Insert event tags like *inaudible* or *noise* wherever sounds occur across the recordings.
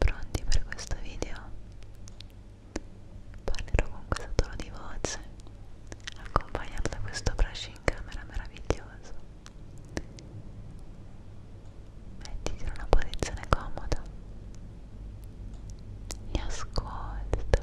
Pronti per questo video? Parlerò con questo tono di voce, accompagnato da questo brush in camera meraviglioso. Mettiti in una posizione comoda e ascolta.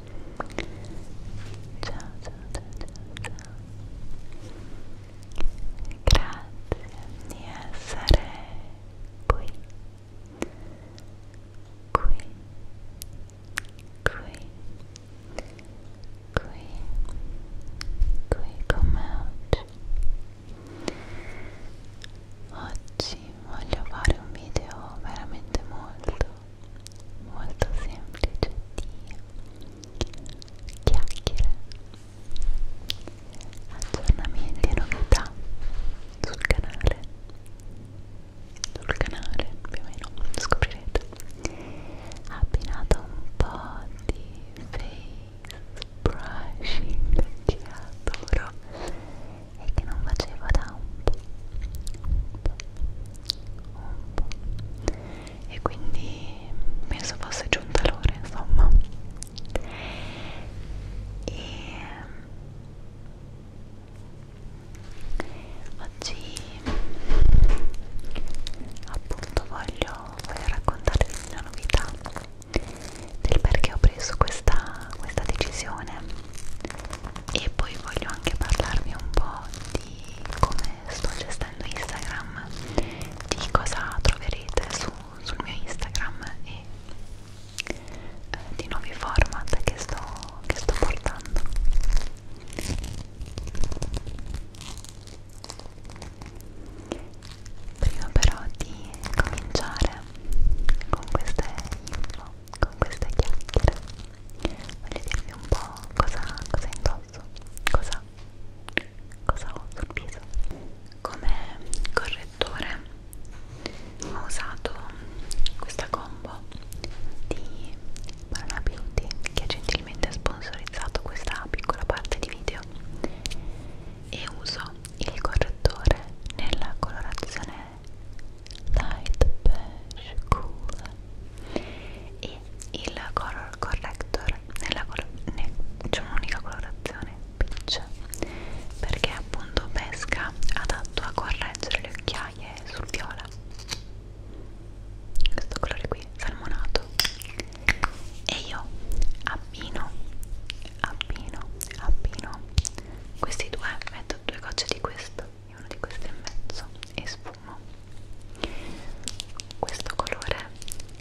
ciao ciao ciao ciao, ciao. grazie di essere qui qui qui qui qui come oggi oggi voglio fare un video veramente molto molto semplice di chiacchiere, aggiornamenti e novità sul canale, sul canale più o meno scoprirete, abbinato un po' di face brushing che adoro e che non facevo da un po', un po', un po' e quindi penso fosse giunta l'ora insomma e oggi appunto voglio, voglio raccontarvi una novità del perché ho preso questa, questa decisione e poi voglio anche parlarvi un po' di come sto gestendo Instagram, di cosa troverete su, sul mio Instagram e eh, di nuovi format che sto, che sto portando. Prima però di cominciare con queste info, con queste chiacchiere voglio dirvi un po' cosa, cosa indosso, cosa, cosa ho sul viso. Come correttore ho usato questa combo di Banana Beauty che ha gentilmente sponsorizzato questa piccola parte di video e uso il correttore nella colorazione light beige cool e il color corrector nella col ne, c'è diciamo un'unica colorazione peach perché appunto pesca adatto a correggere le occhiaie sul viola questo colore qui salmonato e io abbino abbino abbino questi due metto due gocce di questo io uno di questi e mezzo e sfumo questo colore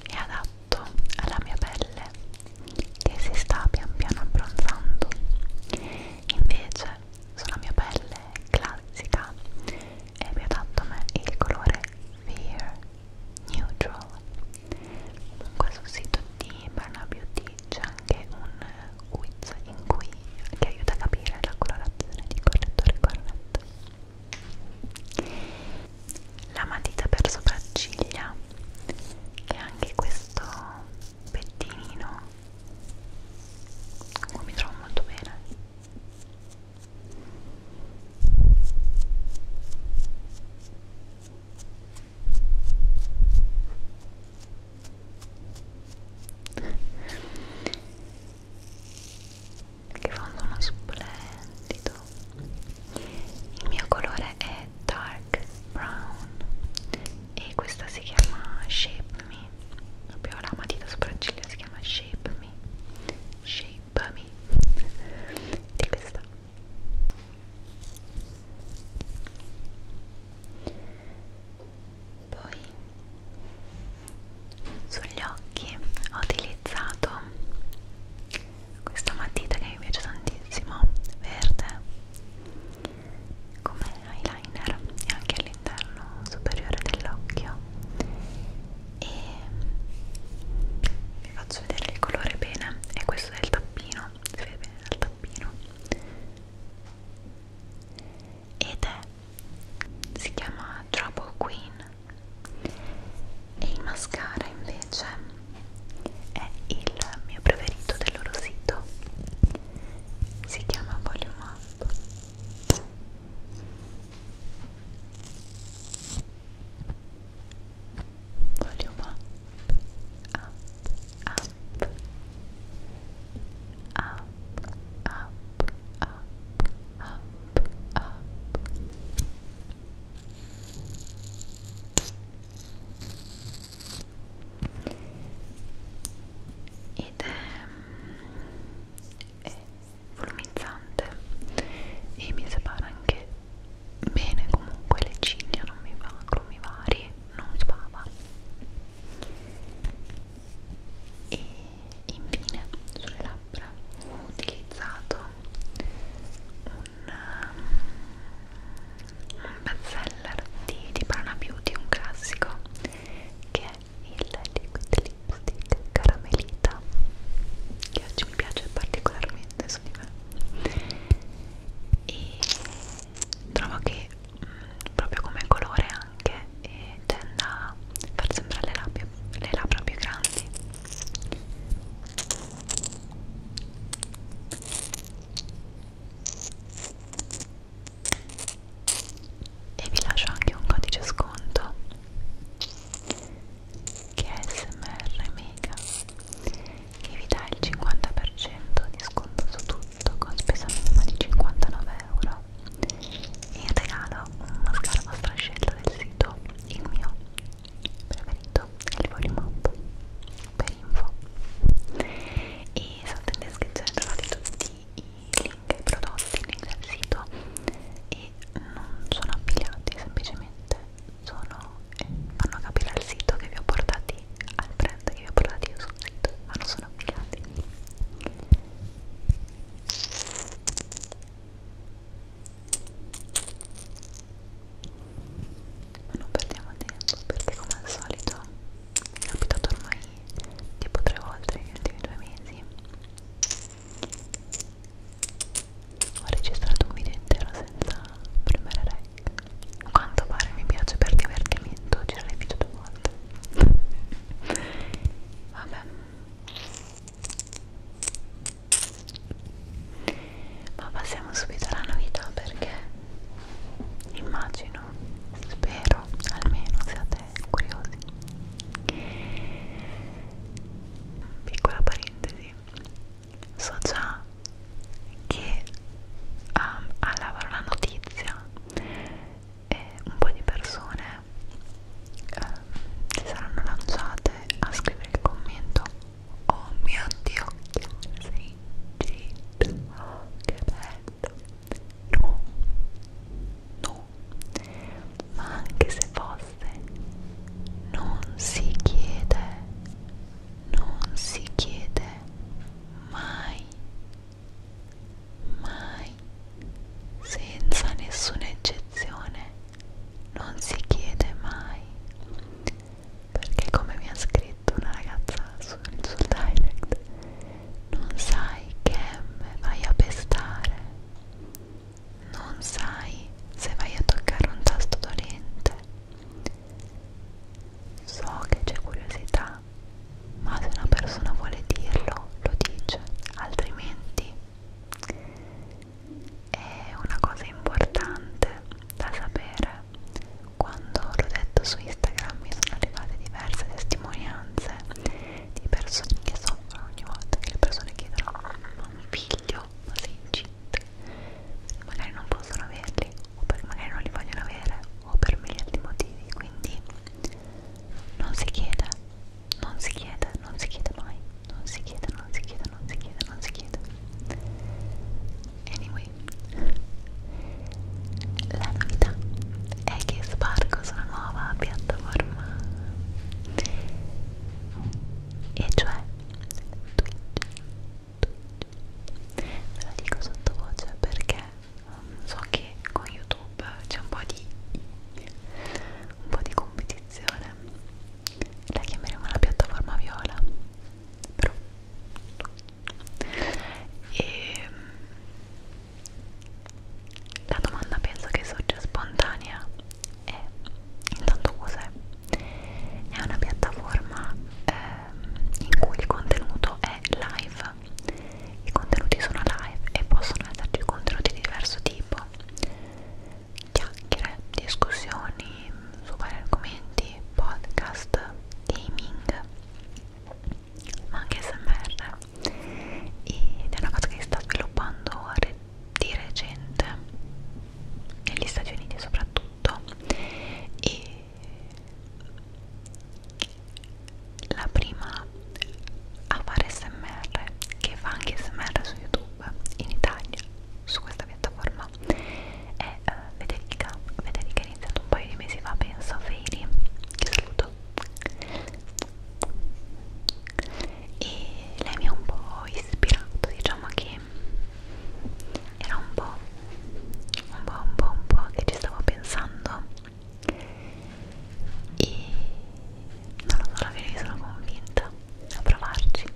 è adatto alla mia pelle che si sta pian piano abbronzando invece sulla mia pelle classica è più adatto a me il colore Fear Neutral comunque sul sito di Barna Beauty c'è anche un quiz in cui ti aiuta a capire la colorazione di correttore corretto. La matita per sopracciglia, che è anche questo pettinino con cui mi trovo molto bene che fa un suono splendido il mio colore è dark brown e questa si chiama shape me proprio la matita sopracciglia si chiama shape me shape me di questa poi sugli occhi ho utilizzato questa matita che mi piace tantissimo verde come eyeliner e anche all'interno superiore dell'occhio e vi faccio vedere il colore bene e questo è il tappino si vede bene dal tappino ed è si chiama Trouble Queen e il mascara invece è il mio preferito del loro sito si chiama Volume Up Volume up, up, up, up, up, up, up, up. Ed è, è volumizzante e mi separa anche bene comunque le ciglia, non mi va, mi vari, non spava e infine sulle labbra ho utilizzato un, um, un bestseller di, di Prana Beauty, un classico che è il liquid lipstick caramelita che oggi mi piace particolarmente su di me e trovo che proprio come colore anche e tende a far sembrare le, labbie, le labbra più grandi e vi lascio anche un codice sconto che è smr mega che vi dà il 50% di sconto su tutto prodotto con spesa minima di 59 euro e in regalo un mascara a strascello del sito il mio preferito è il volume up per info e sotto in descrizione trovate tutti i link ai prodotti, i link del sito e non sono affiliati semplicemente sono, eh, fanno capire al sito che vi ho portati al brand che vi ho portati io sul sito ma non sono affiliati ma non perdiamo tempo perché come al solito mi è capitato ormai tipo tre volte negli ultimi due mesi ho registrato un video intero senza premere rec a quanto pare mi piace per divertimento girare video volte vabbè ma passiamo subito alla novità perché immagino spero almeno siate curiosi piccola parentesi so già che um, alla la notizia e un po' di persone eh, si saranno lanciate a scrivere il commento oh mio dio che sei incinta oh, che bello no no ma anche se fosse non si chiede non si chiede mai Mai, senza nessuna eccezione, non si chiede mai. Perché come mi ha scritto una ragazza sul, sul direct, non sai che M vai a pestare, non sai se vai a toccare un tasto dolente. So che c'è curiosità dirà, ma se una persona vuole dirlo, lo dice, altrimenti è una cosa importante da sapere. Quando l'ho detto su Instagram mi sono arrivate diverse testimonianze di persone che soffrono ogni volta che le persone chiedono ma un figlio, ma sei incinta? Magari non possono averli, o perché magari non li vogliono avere, o per miliardi di motivi, quindi non si chiede, non si chiede, non si chiede mai, non si chiede, non si chiede, non si chiede, non si chiede. Anyway, la novità è che sbarco sulla nuova piattaforma e cioè Twitch. Twitch. Ve lo dico sottovoce perché so che con YouTube c'è un po' di un po' di competizione la chiameremo la piattaforma viola però e ehm, la domanda penso che sorge spontanea è intanto cos'è? È una piattaforma ehm, in cui il contenuto è live pubblicità. I contenuti sono live e possono esserci contenuti di diverso tipo, chiacchiere, discussioni su vari argomenti, podcast, gaming, ma anche smr. Ed è una cosa che si sta sviluppando re di recente, negli Stati Uniti soprattutto, e la prima a fare smr che fa anche smr su youtube in Italia su questa piattaforma è uh, Federica Federica è iniziata un paio di mesi fa penso a Feli che saluto e lei mi ha un po' ispirato diciamo che era un po' un po' un po' un po' che ci stavo pensando e non lo so, la sono convinta a provarci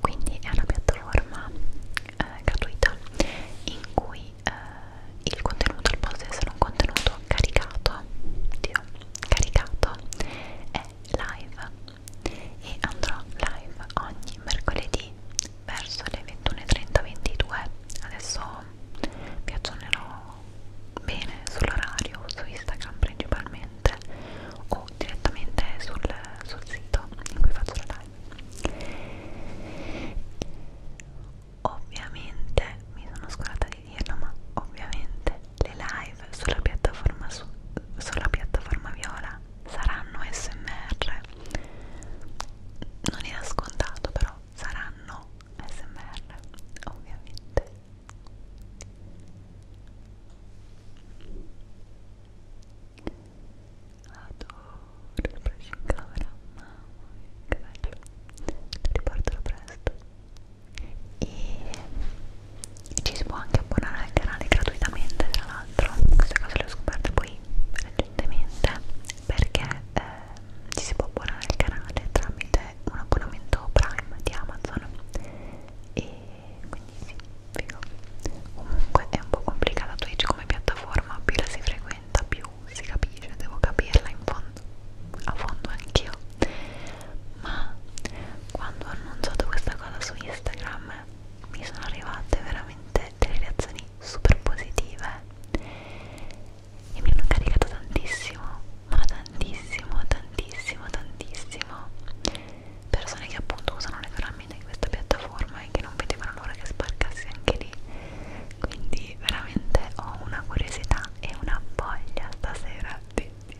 quindi è una piattaforma eh, gratuita in cui eh, il contenuto al posto di essere un contenuto caricato oddio, caricato è live e andrò live ogni mercoledì verso le 21.30-22 adesso vi aggiornerò bene sull'orario su Instagram principalmente o direttamente sul, sul sito in cui faccio la live ovviamente mi sono scordata di dirlo ma ovviamente le live sulla piattaforma, su, sulla piattaforma viola saranno smr non era scontato però saranno smr ovviamente adoro il brushing camera mamma mia che bello riporterò presto e ci si può anche abbonare al canale gratuitamente tra l'altro queste cose le ho scoperte poi recentemente perché eh, ci si può abbonare al canale tramite un abbonamento Prime di Amazon e quindi sì, figo comunque è un po' complicata Twitch come piattaforma più la si frequenta più si capisce, devo capirla in fondo, a fondo anch'io ma quando ho annunciato questa cosa su Instagram mi sono arrivate veramente delle reazioni super positive e mi hanno caricato tantissimo, ma tantissimo, tantissimo, tantissimo. Persone che appunto usano le caramelle di questa piattaforma e che non vedevano l'ora che sbarcassi anche lì. Quindi veramente ho una curiosità e una voglia stasera di, di,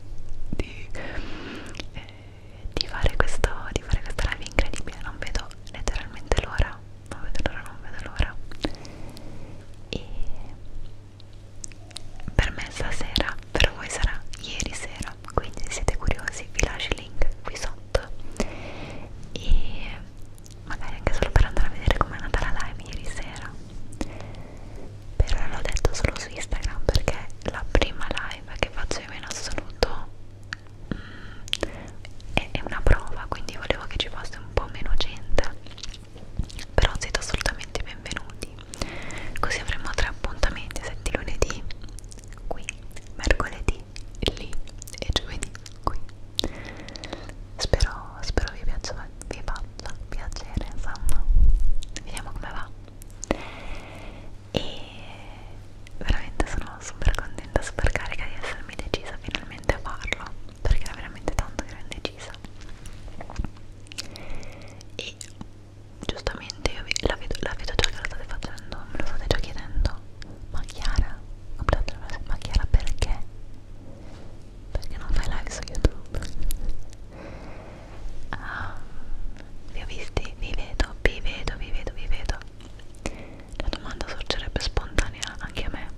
di, eh, di fare questo, di fare questa live incredibile, non vedo letteralmente l'ora non vedo l'ora, non vedo l'ora e per me stasera, per voi sarà ieri sera quindi se siete curiosi vi lascio il link qui sotto e magari anche solo per andare a vedere com'è andata la live ieri sera però l'ho detto solo su Instagram perché la prima live che faccio io in assoluto mh, è, è una prova quindi volevo che ci fosse un po' meno gente però siete assolutamente benvenuti così avremo tre appuntamenti setti lunedì qui mercoledì lì e giovedì qui spero, spero vi piaccia vi faccia piacere insomma vediamo come va e veramente sono super contenta super carica di essermi decisa finalmente a farlo perché era veramente tanto che ero indecisa e giustamente io la vedo, la vedo già che lo state facendo me lo state già chiedendo ma Chiara ma Chiara perché? perché non fai live su YouTube? Um, vi ho visti, vi vedo, vi vedo, vi vedo, vi vedo la domanda sorgerebbe spontanea anche a me,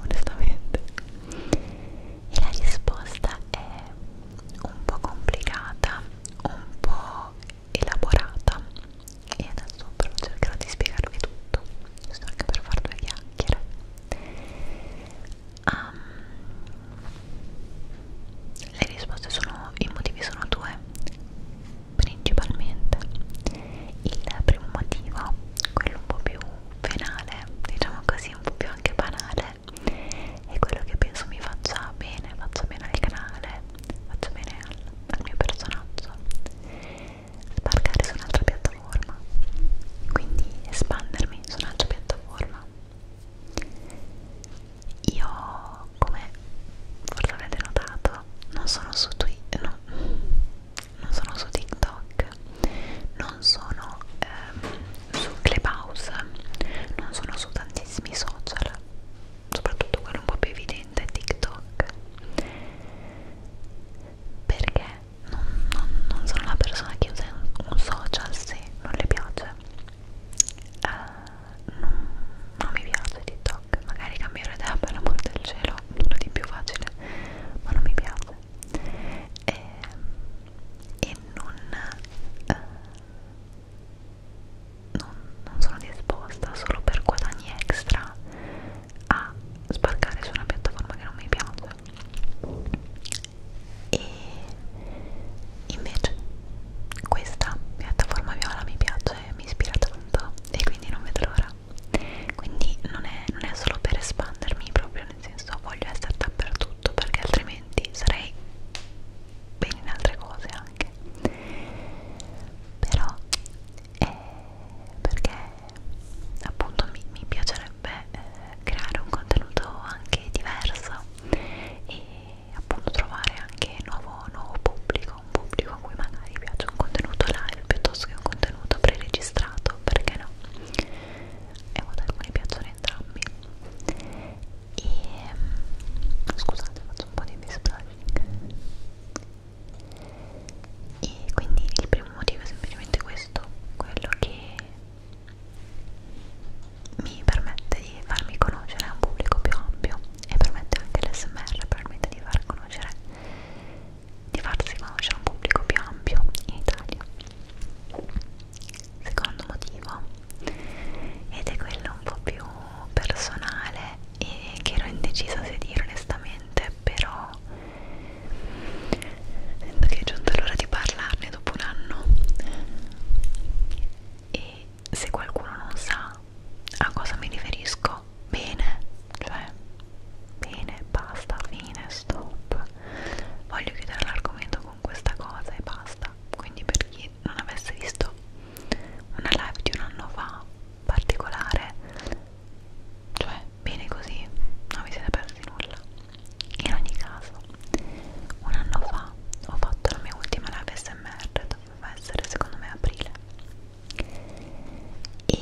onestamente. E la risposta è un po' complicata, un po' elaborata. E adesso però cercherò di spiegarvi tutto, giusto anche per far due chiacchiere. Um, le risposte sono, i motivi sono due, principalmente il primo motivo, quello un po' più penale, diciamo così, un po' più anche banale, è quello che penso mi faccia bene, faccia bene al canale, faccia bene al, al mio personaggio. Sbarcare su un'altra piattaforma, quindi espandermi su un'altra piattaforma. Io, come forse avete notato, non sono su Twitter, no, non sono su TikTok, non sono ehm, su Clubhouse, non sono su tantissimi social, soprattutto quello un po' più evidente è TikTok perché non, non, non sono una persona che usa un social se non le piace. Uh, non, non mi piace TikTok TikTok magari cambierò idea per l'amor del cielo nulla di più facile ma non mi piace e, ehm, e non, eh, non, non sono disposta solo per guadagni extra a sbarcare su una piattaforma che non mi piace e invece questa piattaforma viola mi piace mi ispira tanto e quindi non vedo l'ora quindi non è, non è solo per espandermi proprio nel senso voglio essere dappertutto perché altrimenti sarei bene in altre cose anche però eh, perché appunto mi, mi piacerebbe eh, creare un contenuto anche diverso e appunto trovare anche nuovo, nuovo pubblico un pubblico a cui magari piace un contenuto live piuttosto che un contenuto preregistrato, perché no? E ad alcuni piacciono entrambi. E mm, scusate, faccio un po' di displashing. E quindi il primo motivo è semplicemente questo, quello che mi permette di farmi conoscere a un pubblico più ampio e permette anche l'SMR, permette di far conoscere di farsi conoscere a un pubblico più ampio in Italia. Secondo motivo, ed è quello un po' più personale e che ero indecisa se dire onestamente, però sento che è giunta l'ora di parlarne dopo un anno e se qualcuno non sa a cosa mi riferisco bene, cioè bene, basta, fine, stop. Voglio chiudere l'argomento con questa cosa e basta. Quindi per chi non avesse visto una live di un anno fa particolare, cioè bene così, non vi siete persi nulla. In ogni caso, un anno fa ho fatto la mia ultima live SMR, doveva essere secondo me aprile e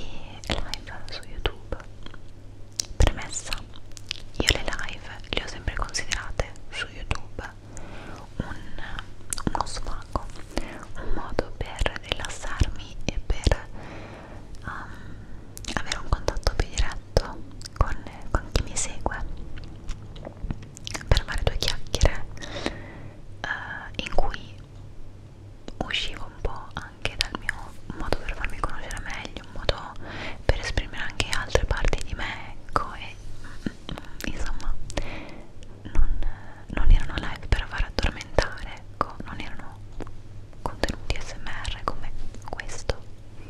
live su YouTube. Premessa, io le live le ho sempre considerate su YouTube un, uno sfogo, un modo per rilassarmi e per um, avere un contatto più diretto con, con chi mi segue, per fare due chiacchiere uh, in cui uscivo un po' anche dal mio modo per farmi conoscere meglio, un modo per esprimere anche altre parti di me, ecco, e mm, insomma non, non erano live per far addormentare, ecco, non erano contenuti smr come questo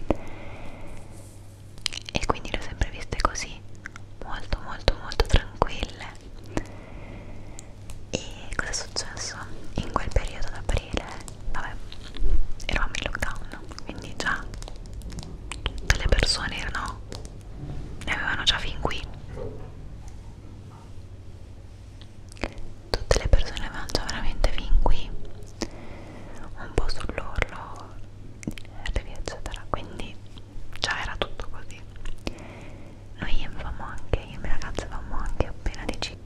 e quindi le ho sempre viste così molto molto molto tranquille e cosa è successo? In quel periodo ad aprile, vabbè, eravamo in lockdown, quindi già tutte le persone erano, ne avevano già fin qui. Tutte le persone avevano già veramente fin qui, un po' sull'orlo, eccetera, quindi già era tutto così noi avevamo anche, io e mia ragazza avevamo anche appena deciso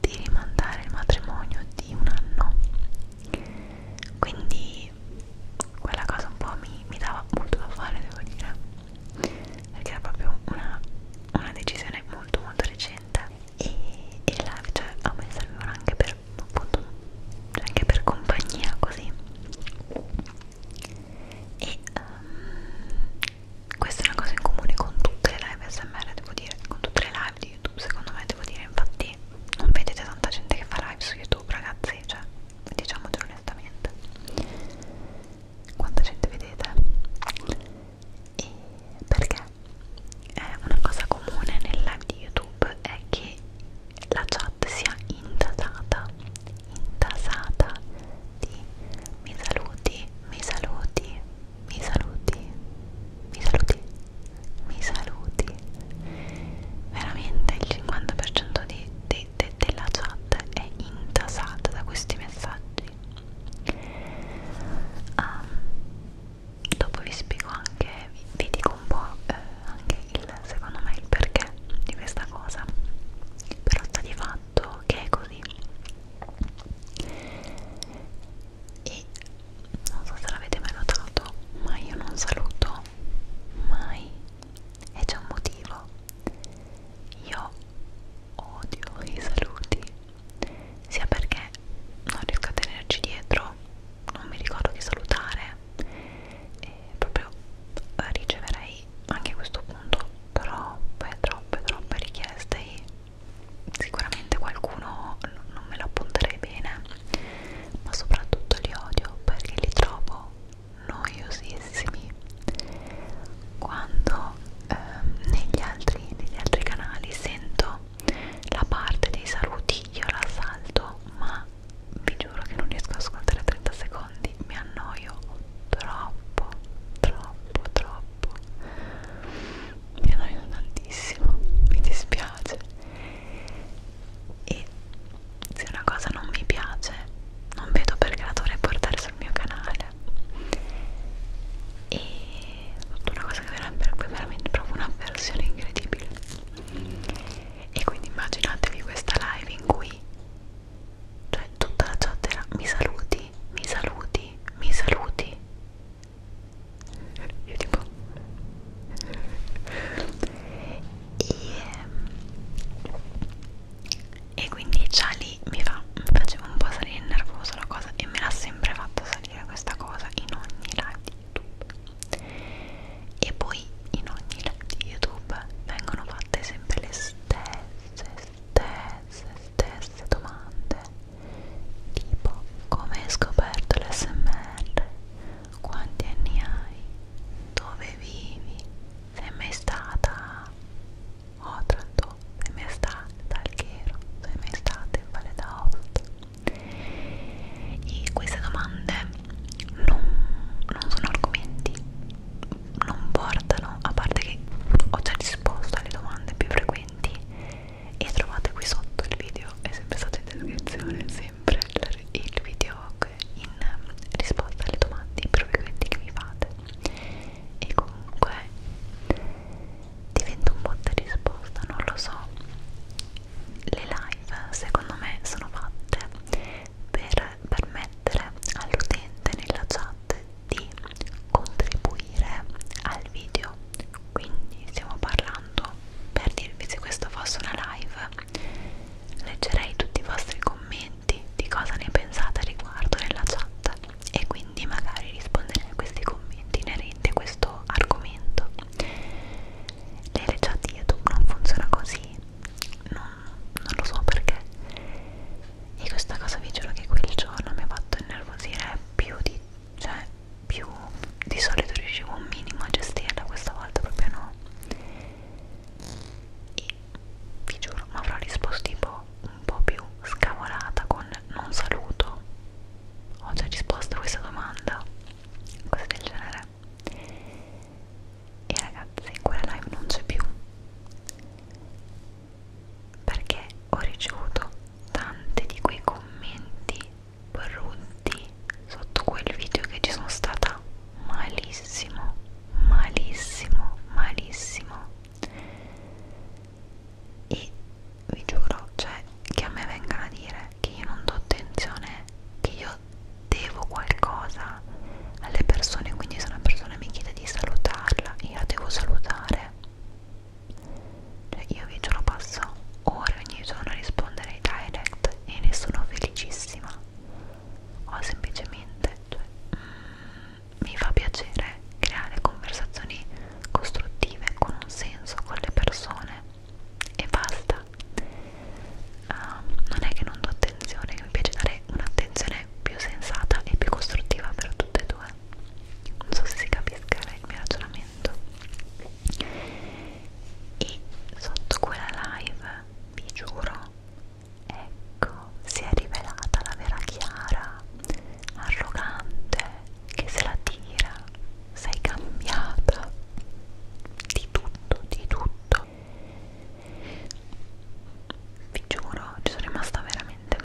di rimandare il matrimonio di un anno quindi quella cosa un po' mi, mi dava molto da fare devo dire perché era proprio una, una decisione molto molto recente e, e la, cioè, a me servivano anche per appunto cioè anche per compagnia così e um, questa è una cosa in comune con tutte le live smr devo dire con tutte le live di youtube secondo me devo dire infatti non vedete tanta gente che fa live su youtube ragazzi cioè diciamocelo onestamente quanta gente vedete e perché eh, una cosa comune nel live di youtube è che la chat sia indatata intasata di mi saluti, mi saluti, mi saluti, mi saluti, mi saluti. Veramente il 50% di, de, de, della chat è intasata da questi messaggi. Um, dopo vi spiego anche, vi, vi dico un po' eh, anche il secondo me il perché di questa cosa però sta di fatto fatto che è così e non so se l'avete mai notato ma io non saluto mai e c'è un motivo io odio i saluti sia perché non riesco a tenerci dietro non mi ricordo chi salutare e proprio riceverei anche a questo punto troppe troppe troppe richieste e sicuramente qualcuno non me lo appunterei bene ma soprattutto li odio perché li trovo noiosissimi quando ehm, negli, altri, negli altri canali sento la parte dei saluti io la salto ma vi giuro che non riesco a ascoltare 30 secondi secondi mi annoio troppo troppo troppo mi annoio tantissimo mi dispiace e se una cosa non mi piace non vedo perché la dovrei portare sul mio canale e una cosa che verrebbe veramente proprio una versione incredibile e quindi immaginatevi questa live in cui cioè tutta la chat era mi saluti, mi saluti, mi saluti io tipo e, e quindi già lì mi, fa, mi faceva un po' salire nervoso la cosa e me l'ha sempre fatto salire questa cosa in ogni live di youtube e poi in ogni live di youtube vengono fatte sempre le stesse stesse, stesse domande tipo come hai scoperto l'SMR, quanti anni hai, dove vivi, sei mai stata a oh, Otranto, sei mai stata ad Alghero, sei mai stata in Valle d'Aosta e queste domande non, non sono argomenti non portano, a parte che ho già risposto alle domande più frequenti e trovate qui sotto il video, è sempre stato in descrizione, sempre il video in risposta alle domande più frequenti che mi fate e comunque diventa un botta e risposta, non lo so le live secondo me sono fatte per permettere all'utente nella chat di contribuire al video quindi stiamo parlando per dirvi se questo fosse una live leggerei tutti i vostri commenti di cosa ne pensate riguardo nella chat e quindi magari risponderei a questi commenti inerenti a questo argomento le chat YouTube non funziona così non, non lo so perché e questa cosa vi giuro che quel giorno mi ha fatto innervosire più di cioè più di solito riuscivo un minimo a gestirla questa volta proprio no e vi giuro mi avrò risposto tipo un po' più scavolata con non saluto ho già risposto a questa domanda cose del genere e ragazzi quella live non c'è più perché ho ricevuto tanti di quei commenti brutti sotto quel video che ci sono stata malissimo, malissimo, malissimo e vi giuro, cioè, che a me vengano a dire che io non do attenzione, che io devo qualcosa alle persone quindi se una persona mi chiede di salutarla io la devo salutare cioè io vi giuro passo ore ogni giorno a rispondere ai direct e ne sono felicissima o semplicemente cioè, mm, mi fa piacere creare conversazioni costruttive con un senso con le persone e basta uh, non è che non do attenzione mi piace dare un'attenzione è più sensata e più costruttiva per tutte e due non so se si capisca il mio ragionamento e sotto quella live vi giuro ecco si è rivelata la vera Chiara arrogante che se la tira sei cambiata di tutto di tutto vi giuro ci sono rimasta veramente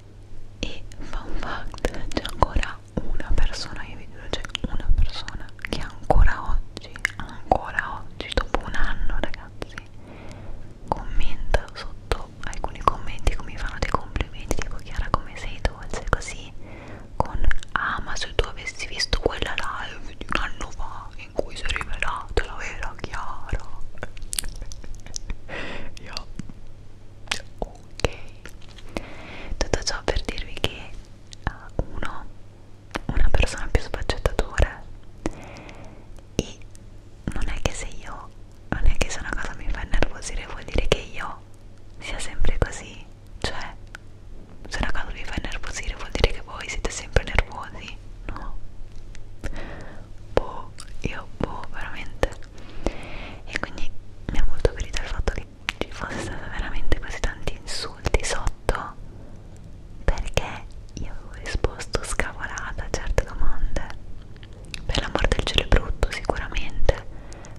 e fun fact c'è ancora una persona io vi giuro c'è una persona che ancora oggi ancora oggi dopo un anno ragazzi commenta sotto alcuni commenti come mi fanno dei complimenti tipo Chiara come sei dolce così con ah ma se tu avessi visto quella live di un anno fa in cui si è rivelata la vera Chiara yeah. *laughs* ok tutto ciò per dirvi che uh, uno una persona più sfaccettatura e non è che se io non è che se una cosa mi fa innervosire vuol dire che io sia sempre così cioè se una cosa vi fa innervosire vuol dire che voi siete sempre nervosi così, no? Boh, io boh, veramente. E quindi mi ha molto ferito il fatto che ci fosse stato veramente così tanti insulti sotto perché io avevo risposto scavolata a certe domande. Per l'amor del cielo è brutto, sicuramente,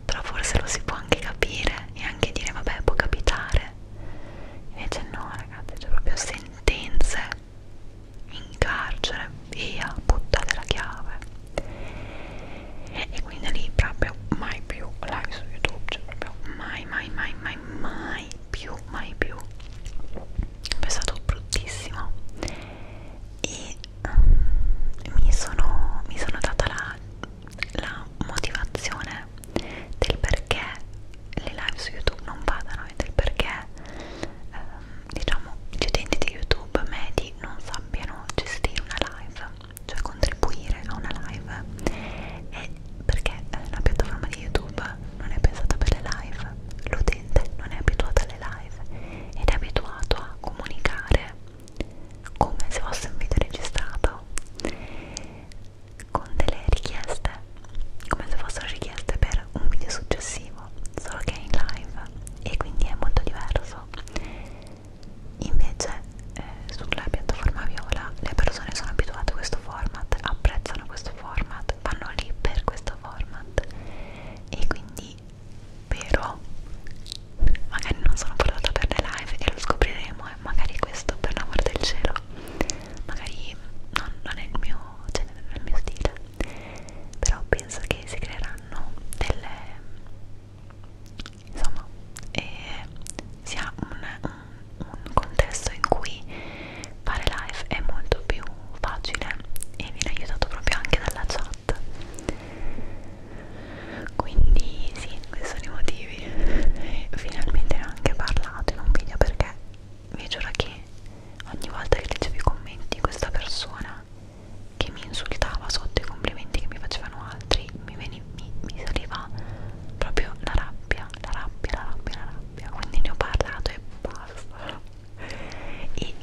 però forse lo si può anche capire e anche dire, vabbè, può capitare. Invece no, ragazzi, c'è proprio sentenze in carcere, via, buttate la chiave e quindi lì proprio mai più live su youtube, cioè proprio mai mai mai mai mai più, mai più è stato bruttissimo e um, mi, sono, mi sono data la, la motivazione del perché le live su YouTube non vadano a vedere perché ehm, diciamo gli utenti di YouTube medi non sappiano gestire una live, cioè contribuire a una live e perché eh, la piattaforma di YouTube non è pensata per le live, l'utente non è abituato alle live ed è abituato a comunicare come se fosse un video registrato con delle richieste come se fossero richieste per un video successivo solo che è in live e quindi è molto diverso invece eh, sulla piattaforma viola le persone sono abituate a questo format apprezzano questo format vanno lì per questo format e quindi però magari non sono portata per le live e lo scopriremo e eh, magari questo per l'amor del cielo magari non, non è il mio genere, non è il mio stile però penso che si creeranno delle insomma eh, si ha un, un contesto in cui fare live è molto più facile e viene aiutato proprio anche dalla chat quindi sì questi sono i motivi *laughs* finalmente ne ho anche parlato in un video perché vi giuro che ogni volta che leggevo i commenti questa persona che mi insultava sotto i complimenti che mi facevano altri mi, veniva, mi, mi saliva proprio la rabbia, la rabbia, la rabbia, la rabbia quindi ne ho parlato e basta e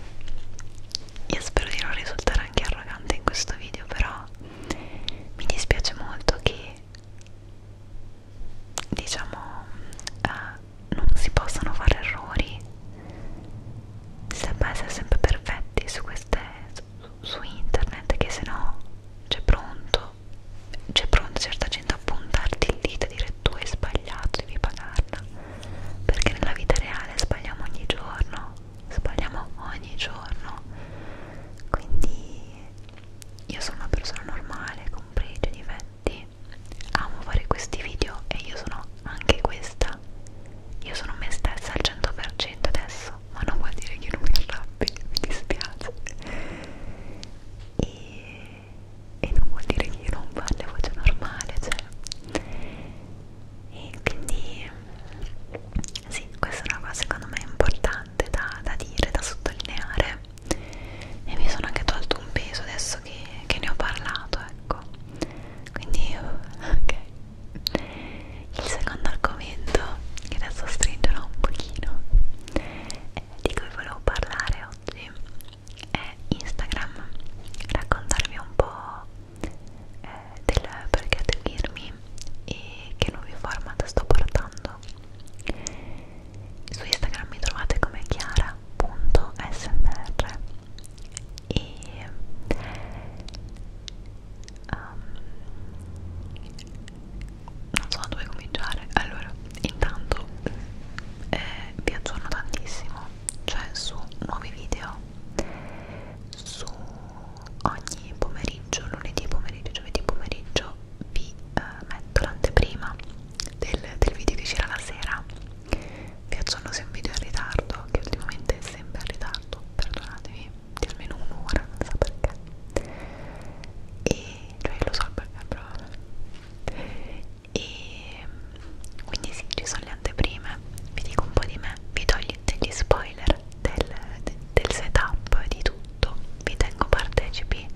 io spero di non risultare anche arrogante in questo video però mi dispiace molto che diciamo eh, non si possano fare errori si deve essere sempre perfetti su queste su, su internet che se no c'è pronto c'è pronta certa gente a puntarti il dito e dire tu hai sbagliato devi pagarla perché nella vita reale sbagliamo ogni giorno sbagliamo ogni giorno quindi io sono una persona normale con pregi e difetti amo fare questi video e io sono anche questa io sono me stessa al 100% adesso ma non vuol dire che non mi arrabbi *laughs* mi dispiace e, e non vuol dire che io non parli a voce normale cioè e quindi sì questa è una cosa secondo me importante da, da dire da sottolineare e mi sono anche tolto un peso adesso che, che ne ho parlato ecco quindi *laughs* ok il secondo argomento che adesso stringerò un pochino eh, di cui volevo parlare oggi è Instagram raccontarvi un po' eh, del perché seguirmi e che nuovi format sto portando su Instagram mi trovate come Chiara www.smr e um, non so dove cominciare allora intanto eh, vi aggiorno tantissimo cioè su nuovi video su ogni pomeriggio lunedì pomeriggio giovedì pomeriggio vi eh, metto l'anteprima del, del video che c'era la sera vi aggiorno se è un video in ritardo che ultimamente è sempre in ritardo perdonatemi di almeno un'ora non so perché e cioè lo so perché però e quindi sì ci sono le anteprime vi dico un po' di me vi togli degli spoiler del, de, del setup di tutto vi tengo partecipi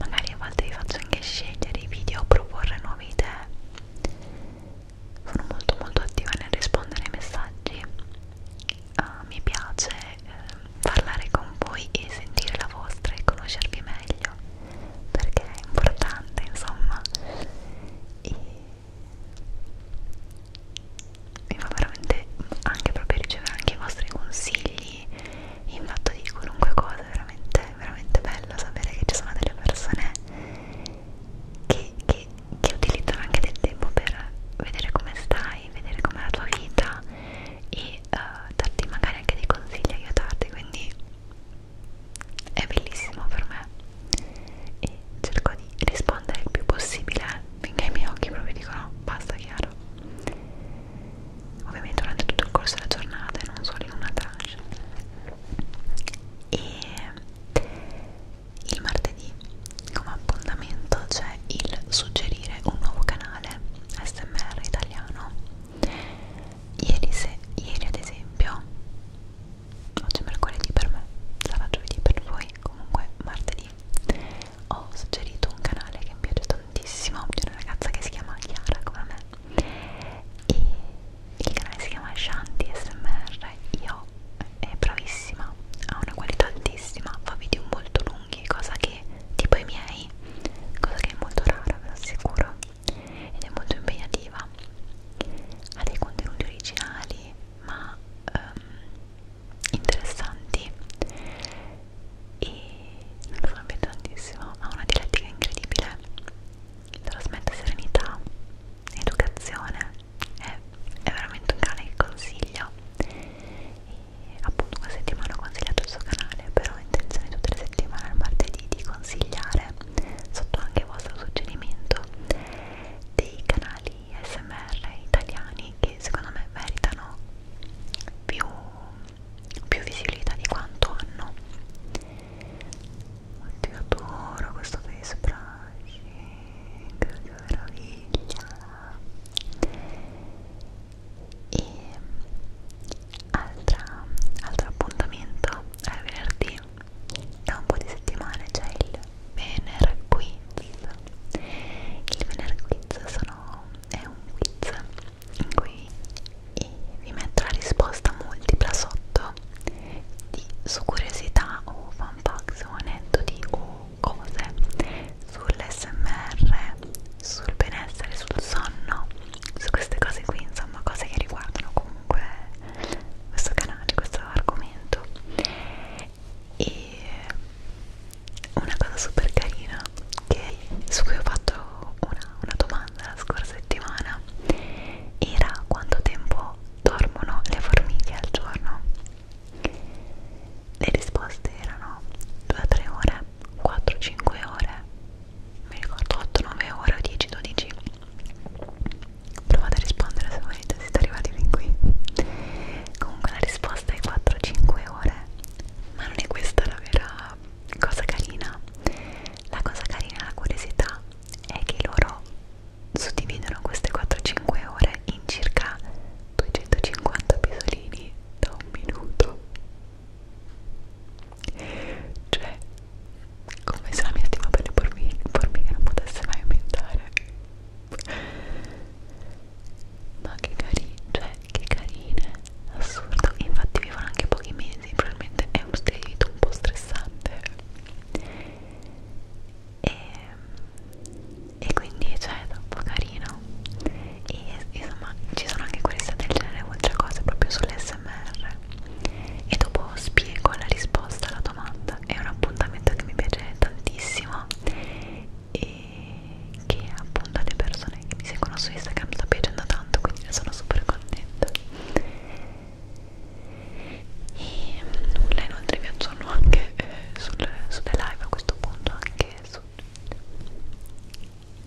magari a volte vi faccio anche scegliere i video o proporre nuove idee sono molto molto attiva nel rispondere ai messaggi uh, mi piace eh, parlare con voi e sentire la vostra e conoscervi meglio perché è importante insomma e mi fa veramente anche proprio ricevere anche i vostri consigli quindi in fatto di qualunque cosa è veramente, veramente bello sapere che ci sono delle persone che, che, che utilizzano anche del tempo per vedere come stai, vedere com'è la tua vita e uh, darti magari anche dei consigli, aiutarti, quindi è bellissimo per me e cerco di rispondere il più possibile eh, finché i miei occhi proprio dicono basta chiaro ovviamente durante tutto il corso della giornata e non solo in una tranche e il martedì come appuntamento c'è il suggerire un nuovo canale smr italiano ieri, se, ieri ad esempio oggi è mercoledì per me sarà giovedì per voi comunque martedì ho suggerito un canale che mi è piaciuto tantissimo di una ragazza che si chiama Chiara come me e il canale si chiama Shanti SMR io eh, è bravissima ha una qualità altissima fa video molto lunghi cosa che tipo i miei cosa che è molto rara ve lo assicuro ed è molto impegnativa ha dei contenuti originali ma um, interessanti e non lo so tantissimo ha una dialettica incredibile trasmette serenità educazione è, è veramente un canale che consiglio e appunto una settimana ho consigliato il suo canale però ho intenzione tutte le settimane al martedì di consigliare sotto anche il vostro suggerimento dei canali smr italiani che secondo me meritano più più visibilità di quanto hanno oddio adoro questo face brushing che meraviglia e altra, altro appuntamento al venerdì da un po' di settimane c'è cioè il Vener Quiz il Vener Quiz sono, è un quiz qui e eh, vi metto la risposta multipla sotto di, su curiosità o fan facts o aneddoti o cose sull'SMR, sul benessere, sul sonno, su queste cose qui, insomma, cose che riguardano comunque questo canale, questo argomento. E una cosa super carina che, su cui ho fatto una, una domanda la scorsa settimana era quanto tempo dormono le formiche al giorno le risposte erano 2-3 ore 4-5 ore mi ricordo 8-9 ore o 10-12 provate a rispondere se volete siete arrivati fin qui comunque la risposta è 4-5 ore ma non è questa la vera cosa carina la cosa carina la curiosità è che loro suddividono queste 4-5 ore in circa 250 pisolini da un minuto cioè come se la mia stima per le formiche, formiche non potesse mai aumentare ma che carine cioè che carine assurdo infatti vivono anche pochi mesi probabilmente è un stile di vita un po' stressante e, e quindi cioè è troppo carino e insomma ci sono anche queste del genere oltre a cose proprio sull'SMR e dopo spiego la risposta alla domanda è un appuntamento che mi piace tantissimo e che appunto alle persone che mi seguono su Instagram sta piacendo tanto quindi ne sono super contenta e nulla mm, inoltre vi aggiorno anche eh, sul, sulle live a questo punto anche su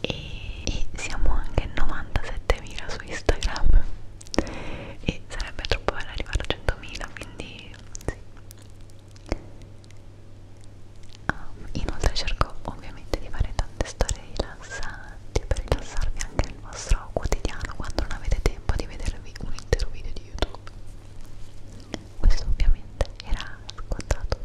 e, e siamo anche 97.000 su Instagram e sarebbe troppo bello arrivare a 100.000 quindi sì Um, inoltre cerco ovviamente di fare tante storie live rilassanti per rilassarvi anche nel vostro quotidiano quando non avete tempo di vedervi un intero video di YouTube. Questo ovviamente era scontato.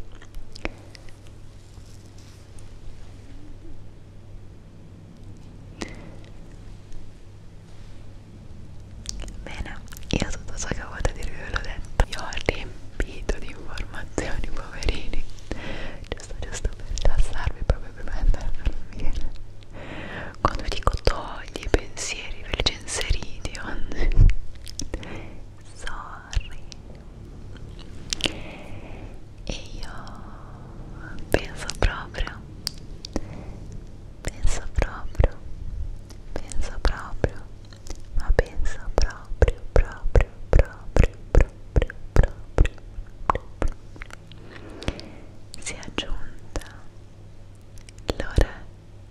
Bene, io tutto ciò che volevo dirvi ve l'ho detto. Io ho riempito di informazioni, poverini giusto giusto per rilassarvi proprio per mandarlo bene quando dico togli i pensieri per genseriti sorry e io penso proprio penso proprio penso proprio ma penso proprio proprio proprio proprio proprio, proprio, proprio si è giunta l'ora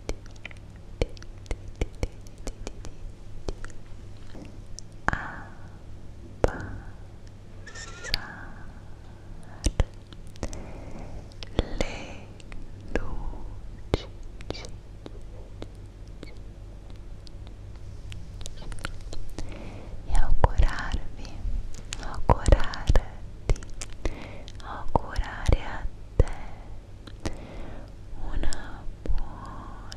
di, di, di, di, di, di, di abbassare le luci e augurarvi, augurarti, augurare a te una buona,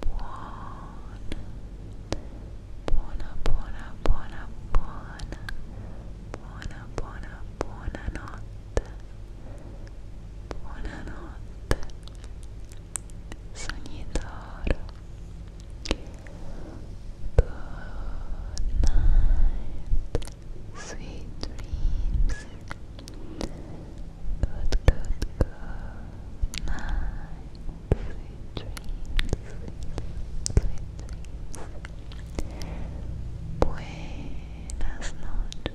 buona, buona, buona, buona, buona, buona, buona, buona notte. Buonanotte sognatore Good Sweet dreams Good, good, good night sweet dreams Buenas noches